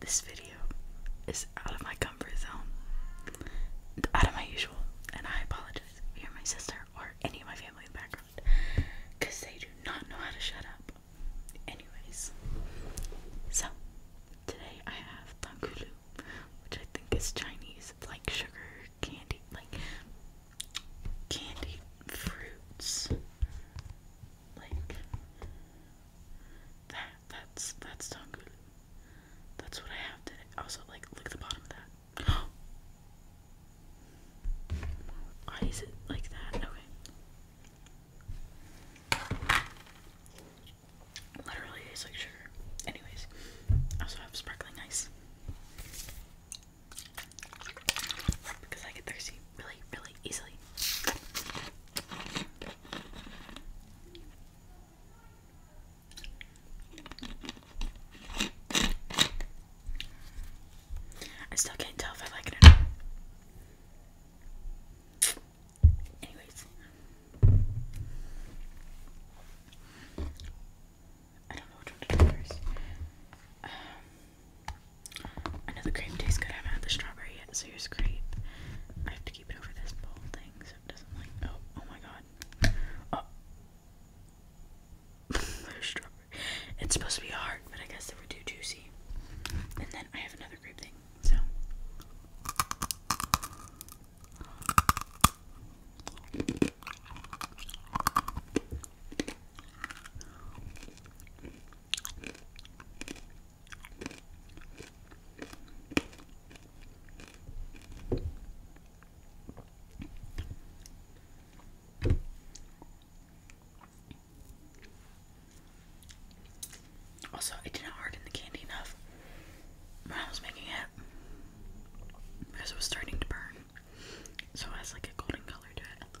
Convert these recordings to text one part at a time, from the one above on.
This video is out of my comfort zone, out of my usual, and I apologize if you're my sister or any of my family in the background because they do not know how to shut up. Anyways, so today I have Tangulu, which I think is Chinese, like sugar candy, like candy fruits. Like that. That's that's not good. That's what I have today. Also, like look at the bottom of that. Why is it like that? Okay. Literally tastes like sugar. Anyways, I also have sparkling ice because I get thirsty really, really easily. I still can't tell if I like it or not. Anyways, I don't know which to do first. Um, I know the cream tastes good. I haven't had the strawberry yet, so here's grape. I have to keep it over this bowl thing so it doesn't like. Oh, oh my god. Oh. strawberry. It's supposed to be hard, but I guess they were too juicy. And then I have another grape thing, so. Also, I didn't harden the candy enough when I was making it because it was starting to burn, so it has like a golden color to it.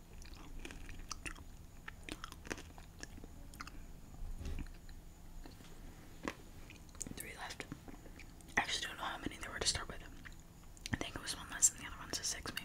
Three left. I actually don't know how many there were to start with. I think it was one less than the other one's so six maybe.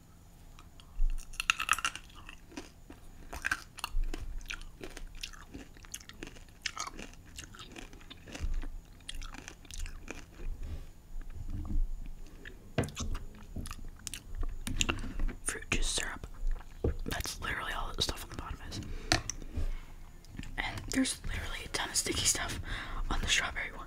Fruit juice syrup. That's literally all the stuff on the bottom is. And there's literally a ton of sticky stuff on the strawberry one.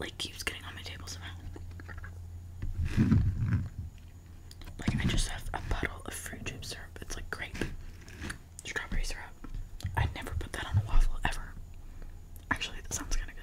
Like keeps getting on my table somehow. Like I just have a bottle of fruit juice syrup. It's like grape, strawberry syrup. i never put that on a waffle ever. Actually, that sounds kind of good.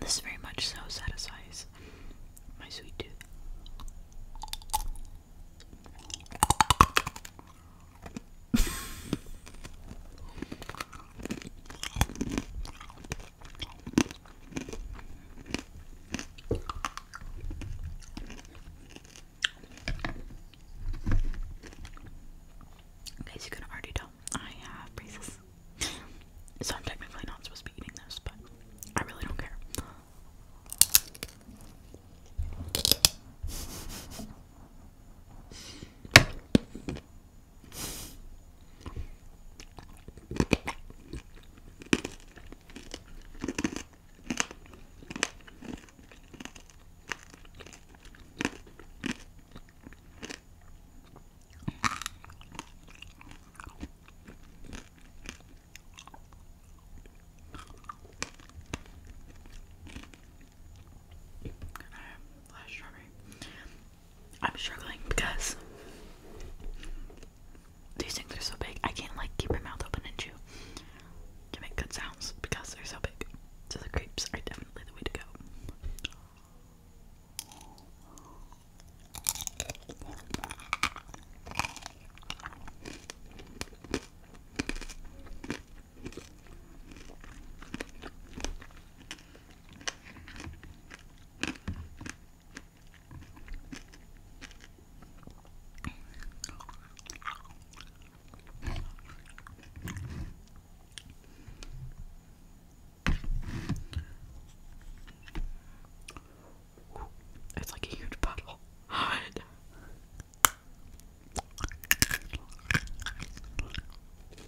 This very much so satisfies my sweet tooth. guys, you can already tell I have braces. So I'm technically not supposed to be eating this, but I really don't care. Last strawberry. I'm struggling because these things are so big. I can't like keep my mouth open and chew to make good sounds because they're so big. So the grapes are definitely the way to go. It's like a huge puddle.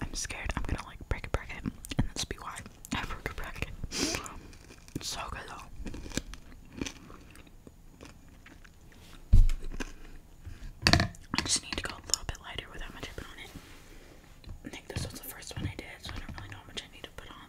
I'm scared I'm gonna like break a bracket, and that's be why I broke a bracket. so good though. I just need to go a little bit lighter without much put on it. I this was the first one I did, so I don't really know how much I need to put on.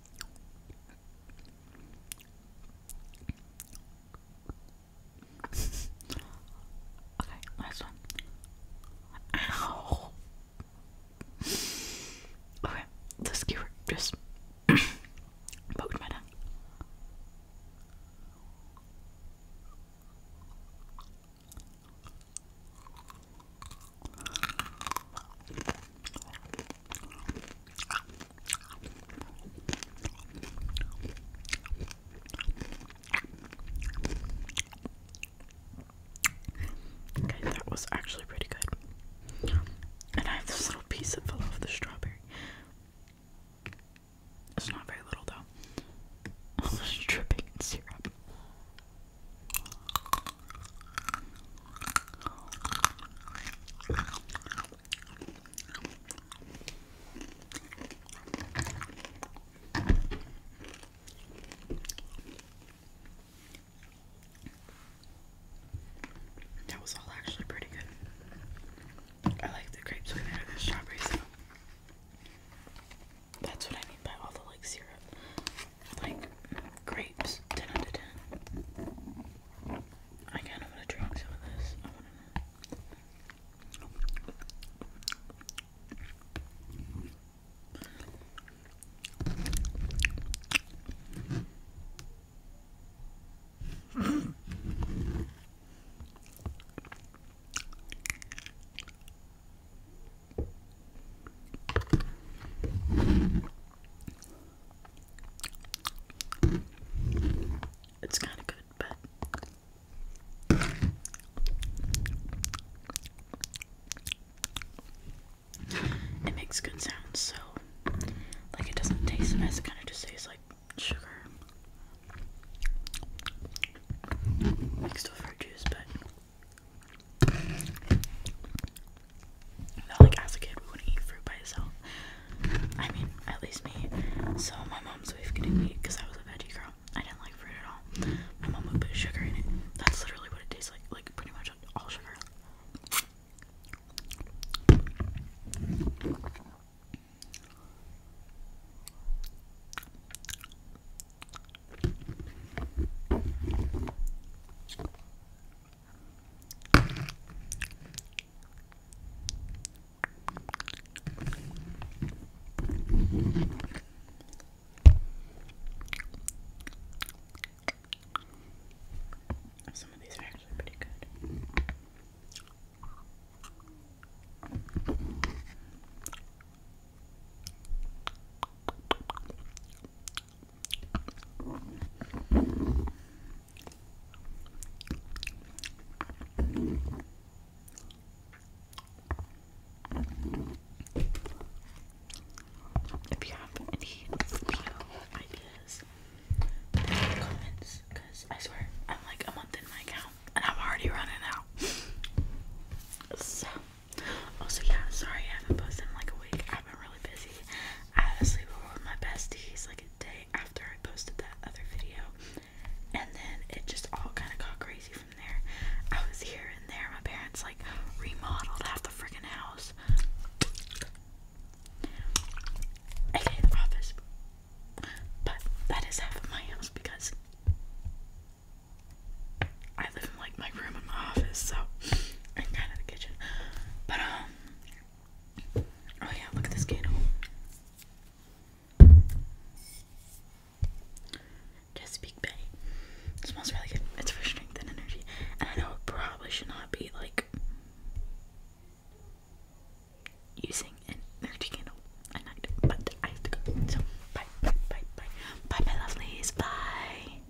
okay, last one. Ow. Okay, the skewer just poked my Okay, that was actually pretty good. And I have this little piece that fell off the strawberry. It's not very little though. It's dripping in syrup. That was all actually pretty good. I like the grapes way better than strawberries. that's what I mean by all the like syrup like grapes, 10 out of 10. I kind of want to drink some of this. It's kind of good, but it makes good sounds, so like it doesn't taste a it kind of just tastes like sugar mixed with fruit juice, but like as a kid, we wouldn't eat fruit by itself. I mean, at least me. So my mom's always getting me because I was a veggie girl. I didn't like fruit at all. My mom would put sugar in it. That's literally what it tastes like. Like pretty much all sugar. Some of these are actually pretty good. If you have any video ideas, put them in the comments because I swear I'm like a month in my account and I'm already running out. so, also, yeah, sorry I haven't posted in like a week. I've been really busy. I had a my besties like a day after I posted that other video, and then it just all kind of got crazy from there. I was here and there. My parents like remodeled half the freaking house. Okay, the office. But that is half of my house because I live in like my room in my office, so and kind of the kitchen. But um, oh yeah, look at this candle. Chesapeake Bay. It smells really good. It's for strength and energy. And I know it probably should not be like using an energy candle at night, but I have to go. So bye, bye, bye, bye, bye, my lovelies. Bye.